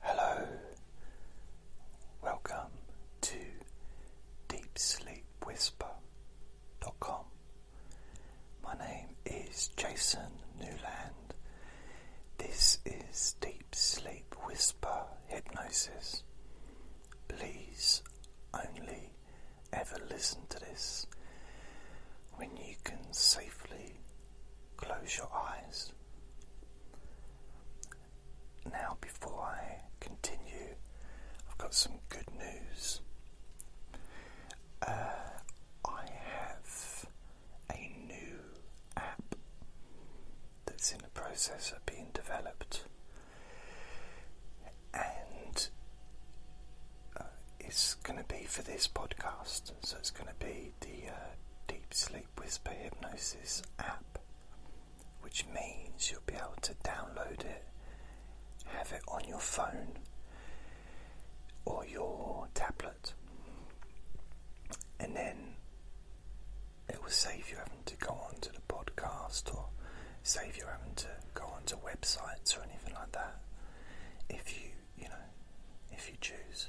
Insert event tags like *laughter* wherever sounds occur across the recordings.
Hello, welcome to DeepSleepWhisper.com. My name is Jason Newland. This is Deep Sleep Whisper Hypnosis. Please only ever listen to this when you can safely close your eyes. Now, before I continue, I've got some good news. Uh, I have a new app that's in the process of being developed, and uh, it's going to be for this podcast. So it's going to be the uh, Deep Sleep Whisper Hypnosis app, which means you'll be able to download it, have it on your phone or your tablet, and then it will save you having to go on to the podcast or save you having to go onto websites or anything like that. If you you know, if you choose.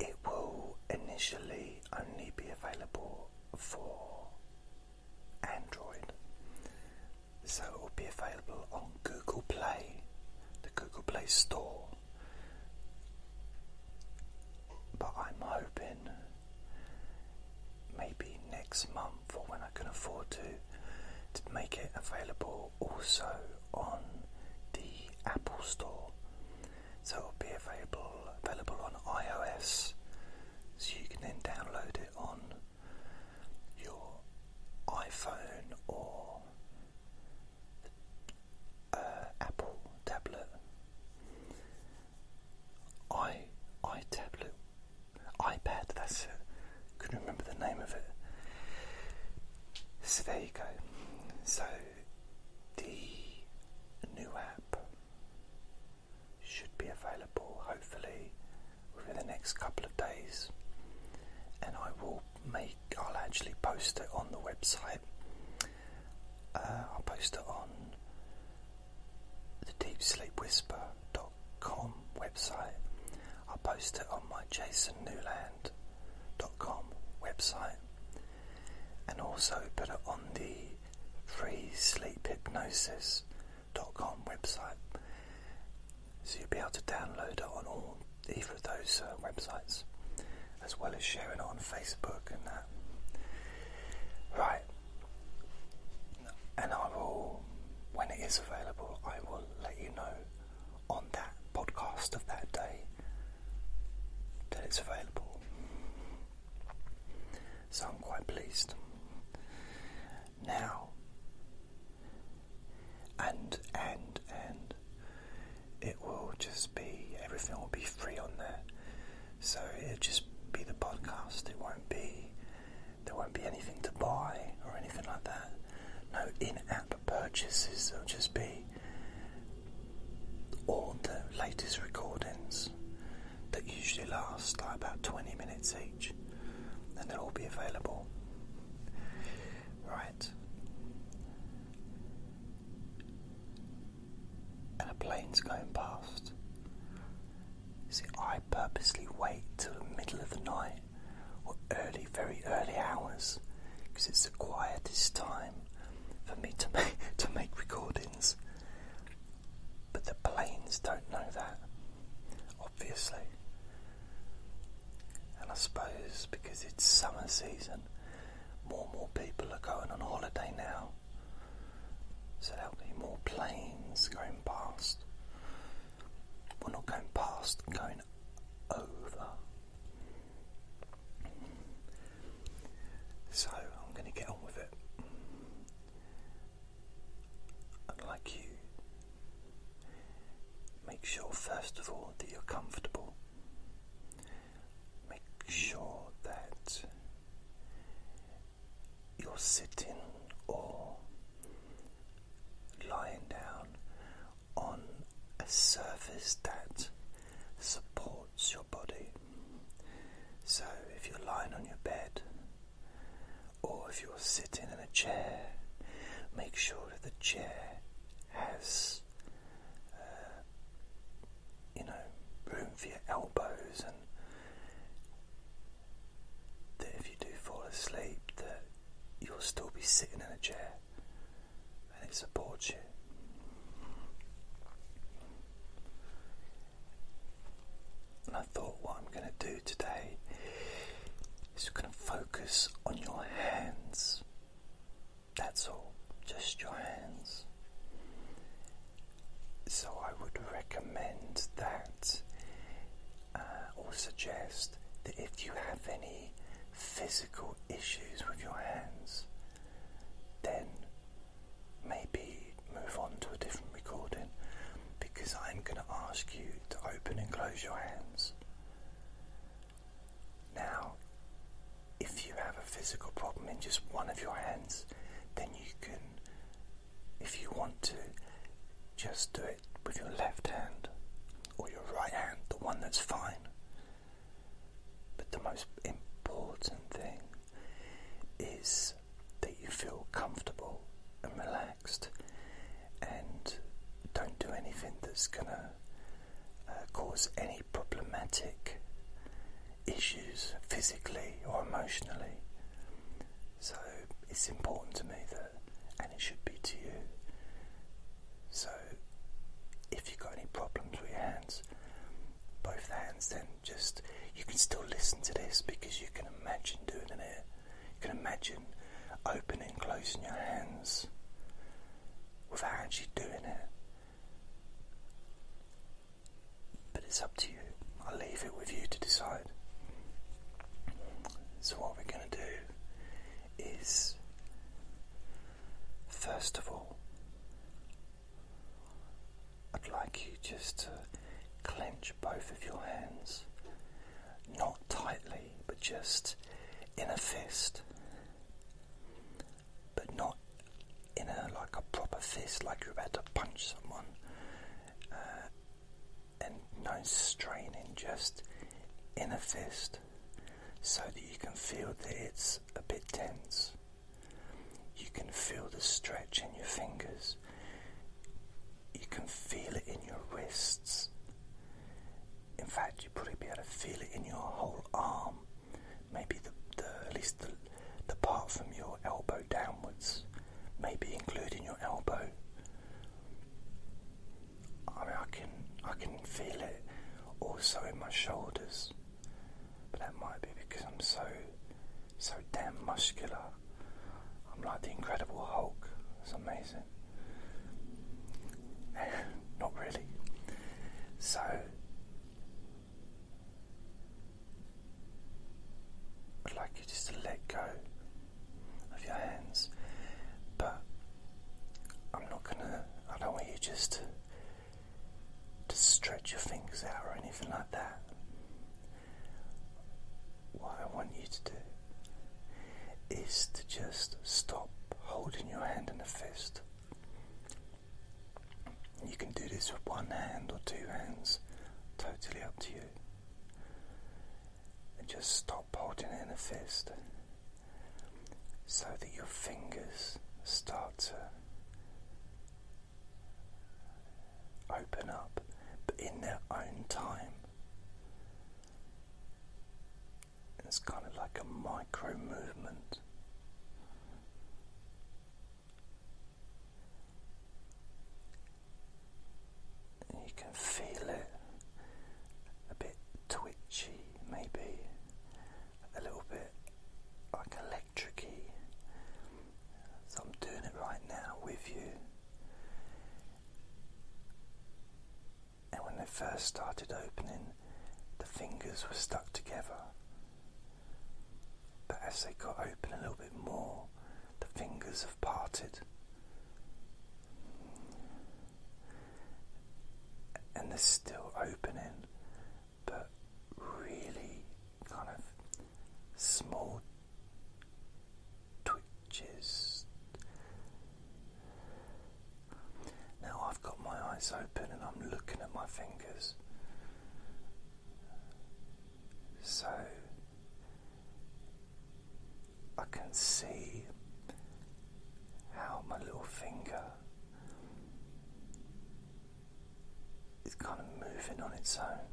It will initially only be available for Android, so it will be available on Google Play, the Google Play Store. But I'm hoping maybe next month or when I can afford to to make it available also on the Apple Store, so it'll be available available on iOS. So you can then download it on your iPhone or uh, Apple tablet. I i tablet, iPad. That's it. Couldn't remember the name of it. So there you go. So the new app should be available hopefully within the next couple of days and I will make I'll actually post it on the website. Uh, I'll post it on the deepsleepwhisper.com website I'll post it on my jasonnewland.com website and also put it on the freesleephypnosis.com website. So you'll be able to download it on all either of those uh, websites, as well as sharing it on Facebook and that. Right, and I will, when it is available, I will let you know on that podcast of that day till it's available. So I'm quite pleased. Now, and, and, and, it will just be, everything will be free on there. So it'll just be the podcast. It won't be, there won't be anything to buy or anything like that. No in app purchases, there'll just be all the latest recordings that usually last like about 20 minutes each, and they'll all be available. Right. And a plane's going past. See, I purposely wait till the middle of the night or early, very early hours, because it's the quietest time for me *laughs* to make recordings. But the planes don't know that, obviously. And I suppose because it's summer season, more and more people are going on holiday now. So there'll be more planes going past. Well, not going past, going over. So I'm going to get on with it. like you make sure first of all that you're comfortable. Make sure that you're sitting or lying down on a surface that supports your body. So, if you're lying on your bed or if you're sitting in a chair, make sure that the chair has, uh, you know, room for your elbows, and that if you do fall asleep, that you'll still be sitting in a chair and it supports you. And I thought what I'm going to do today is going to focus on your hands. That's all, just your hands. So I would recommend that uh, or suggest that if you have any physical issues with your hands, then maybe move on to a different recording because I'm going to ask you to open and close your hands. Now, if you have a physical problem in just one of your hands, then you can, if you want to, just do it with your left hand or your right hand, the one that's fine. But the most important thing is that you feel comfortable and relaxed and don't do anything that's going to uh, cause any problematic issues physically or emotionally. So it's important to me that and it should be to you. So, if you've got any problems with your hands, both the hands, then just you can still listen to this because you can imagine doing it. You can imagine opening and closing your hands without actually doing it. But it's up to you. i leave it with you to decide. So, what we're going to do is first of all, I'd like you just to clench both of your hands, not tightly, but just in a fist, but not in a like a proper fist, like you're about to punch someone, uh, and no straining, just in a fist so that you can feel that it's a bit tense. You can feel the stretch in your fingers. You can feel it in your wrists. In fact, you'll probably be able to feel it in your whole arm. Maybe the at least the, the part from your elbow downwards, maybe including your elbow. I can I can feel it also in my shoulders, but that might be because I'm so so damn muscular. I'm like the Incredible Hulk. It's amazing. *laughs* Not really. So. I'd like you just to let go of your hands, but I'm not gonna, I don't want you just to, stretch your fingers out or anything like that. What I want you to do is to just stop holding your hand in a fist. You can do this with one hand or two hands, totally up to you and just stop holding it in a fist so that your fingers start to open up, but in their own time. It's kind of like a micro movement and you can feel it a bit twitchy, maybe a little bit like electric So I'm doing it right now with you. And when they first started opening, the fingers were stuck together. But as they got open a little bit more, the fingers have parted and they're still opening, but really kind of small twitches. Now I've got my eyes open and I'm looking at my fingers. So I can see how my little finger is kind of moving on its own.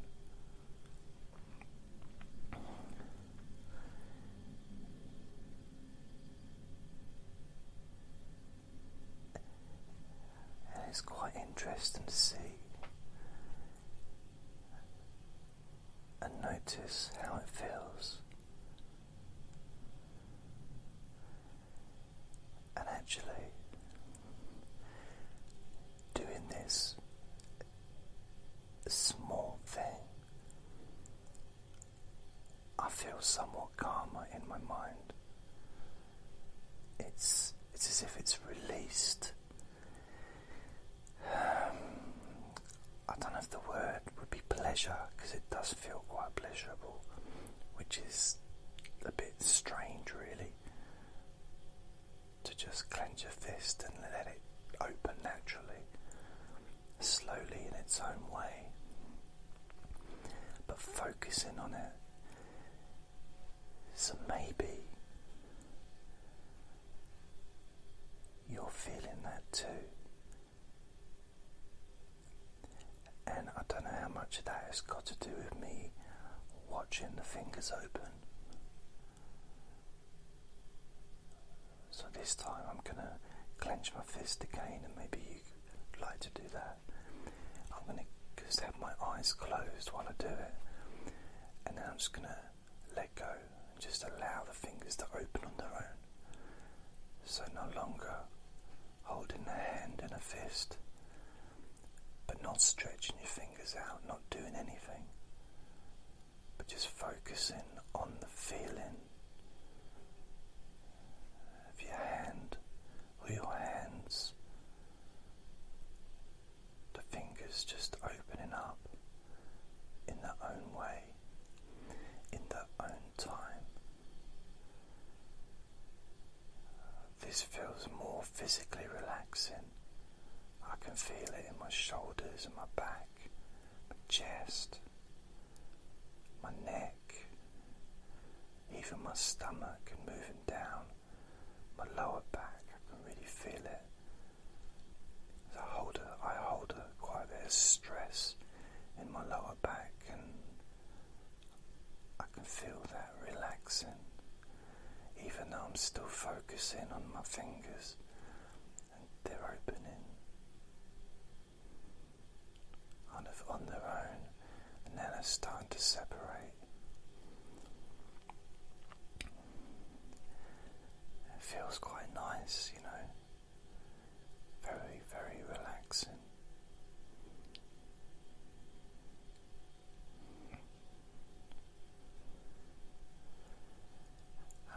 And it's quite interesting to see and notice how it feels. And actually, doing this small thing, I feel somewhat calmer in my mind. It's it's as if it's released I don't know if the word would be pleasure because it does feel quite pleasurable, which is a bit strange, really. To just clench your fist and let it open naturally, slowly in its own way, but focusing on it. So maybe you're feeling that too. And I don't know how much of that has got to do with me watching the fingers open. So this time I'm going to clench my fist again, and maybe you'd like to do that. I'm going to just have my eyes closed while I do it, and then I'm just going to let go and just allow the fingers to open on their own. So, no longer holding a hand in a fist, but not stretching your fingers out, not doing anything, but just focusing on the feeling of your hand or your hands, the fingers just opening up in their own way in their own time. This feels more physically relaxing. I can feel it in my shoulders in my back, my chest, my neck, even my stomach and moving down, my lower back. I can really feel it. I hold a, I hold a, quite bit of stress in my lower back, and I can feel that relaxing. Even though I'm still focusing on my fingers and they're opening kind of on their own, and then they're starting to separate. It feels quite nice, you know. Very, very relaxing.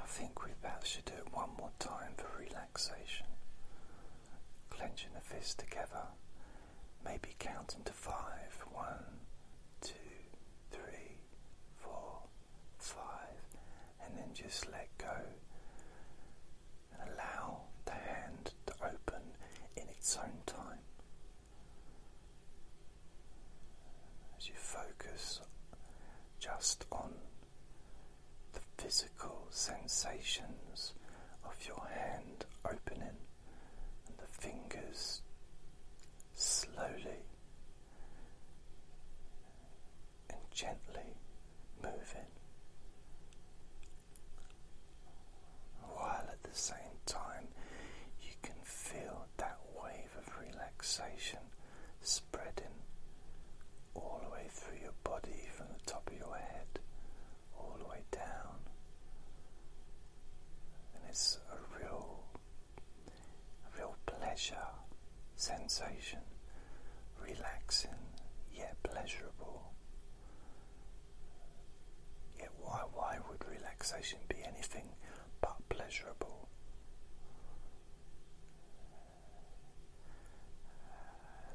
I think we perhaps should do it one more time for relaxation. Clenching the fists together, maybe counting to five: one, two, three, four five, and then just let go and allow the hand to open in its own time. As you focus just on the physical sensations of your hand opening and the fingers slowly and gently moving while at the same time you can feel that wave of relaxation spreading all the way through your body from the top of your head all the way down and it's a real a real pleasure sensation, relaxing yet pleasurable. Yet, why, why would relaxation be anything but pleasurable?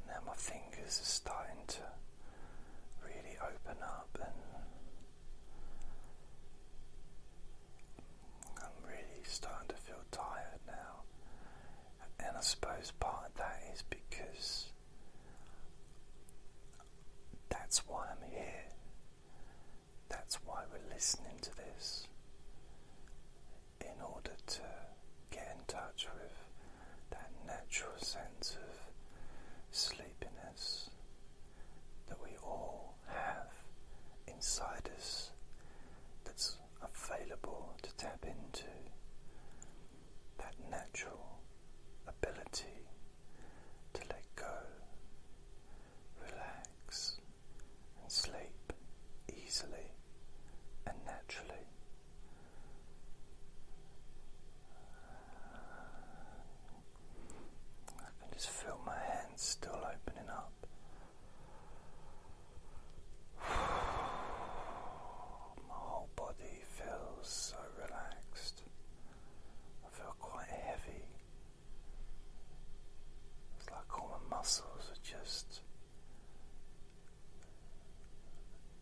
Now, my fingers are starting to really open up and I'm really starting to feel tired now, and I suppose part of that is because that's why I'm here, that's why we're listening to this, in order to get in touch with that natural sense of sleepiness that we all have inside us that's available to tap into. That natural ability to let go, relax, and sleep easily and naturally. I can just feel my hands still opening up. *sighs* My whole body feels so relaxed. I feel quite heavy. It's like all my muscles are just.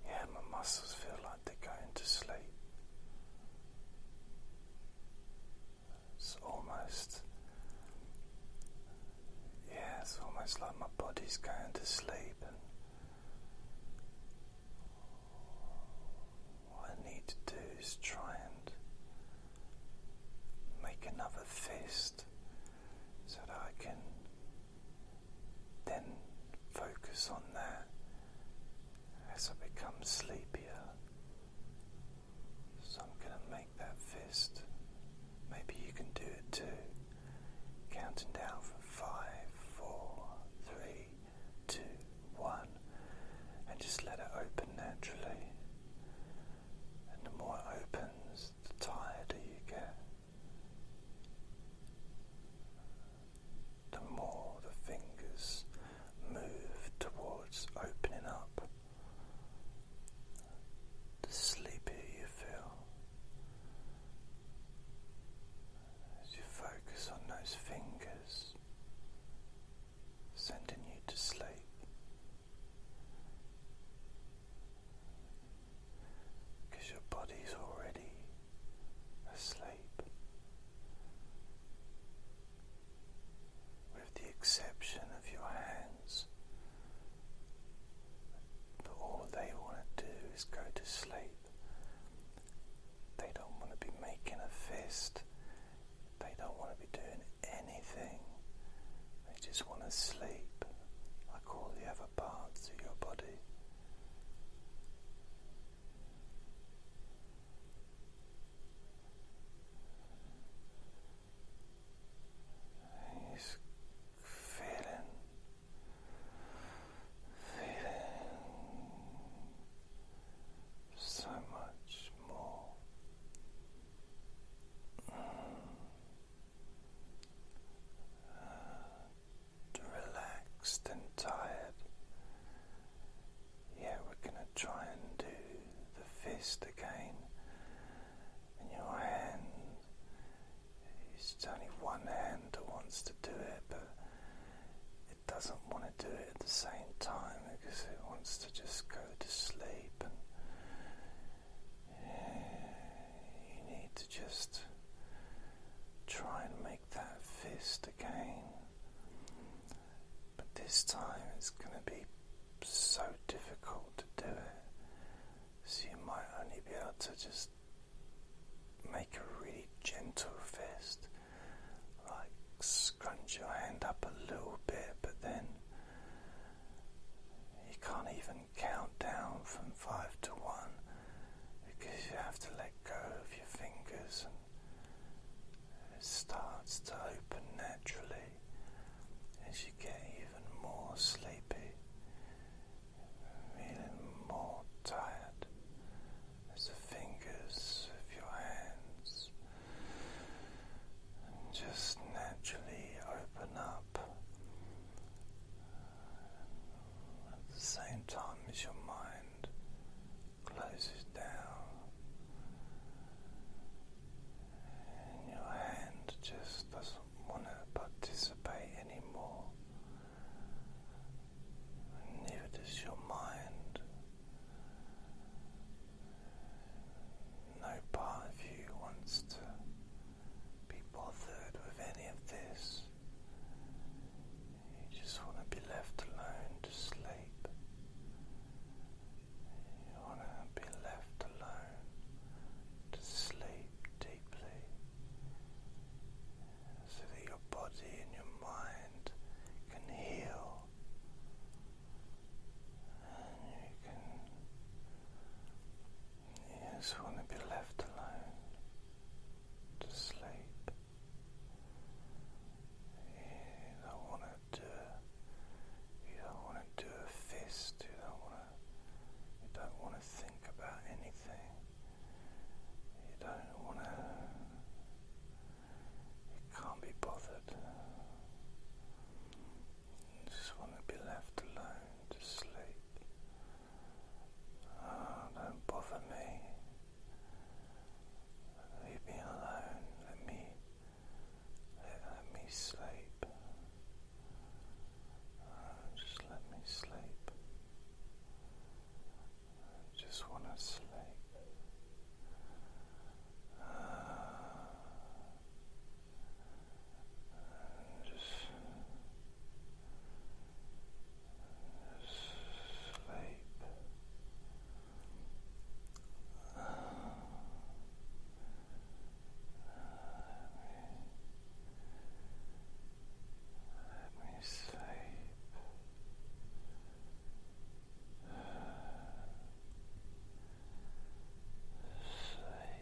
Yeah, my muscles feel like they're going to sleep. It's almost, yeah, it's almost like my body's going to sleep, and what I need to do is try and make another fist so that I can then focus on that as I become sleepier. So I'm going to make that fist. Maybe you can do it too. Counting down for five, four, three, two, one, and just let it open naturally. And the more it opens, the tighter you get. The more the fingers move towards opening up the sleepier you feel as you focus on those fingers, sending you to sleep. Because your body's already asleep, with the exception of your hands. But all they want to do is go to sleep. They don't want to be making a fist. They don't want to be doing anything. They just want to sleep like all the other parts of your body. He's feeling, feeling so much more. Mm. Uh, relaxed and tired yeah, we're going to try and do the fist again. And your hand, it's only one hand that wants to do it, but it doesn't want to do it at the same time because it wants to just go to sleep. And you need to just try and make that fist again. But this time it's going to be so difficult to do it. So you might only be able to just make a really gentle fist, like scrunch your hand up a little bit, but then you can't even count down from five to one because you have to let go of your fingers and it starts to open naturally as you get even more sleepy, feeling more tired as the fingers of your hands just naturally open up at the same time as your mind closes down and your hand just doesn't want to participate anymore. And neither does your mind. No part of you wants to be bothered with any of this. You just want to be left alone to sleep. You want to be left alone to sleep deeply so that your body and your mind can heal You just want to be left alone to sleep. You don't want to do you don't want to do a fist, you don't want to you don't want to think about anything. You don't want to you can't be bothered. just want to be left alone to sleep. Ah, don't bother me. Leave me alone. Let me let me sleep. Uh, just let me sleep. just want to sleep. Uh, just sleep. Let me sleep. Sleep. Sleep.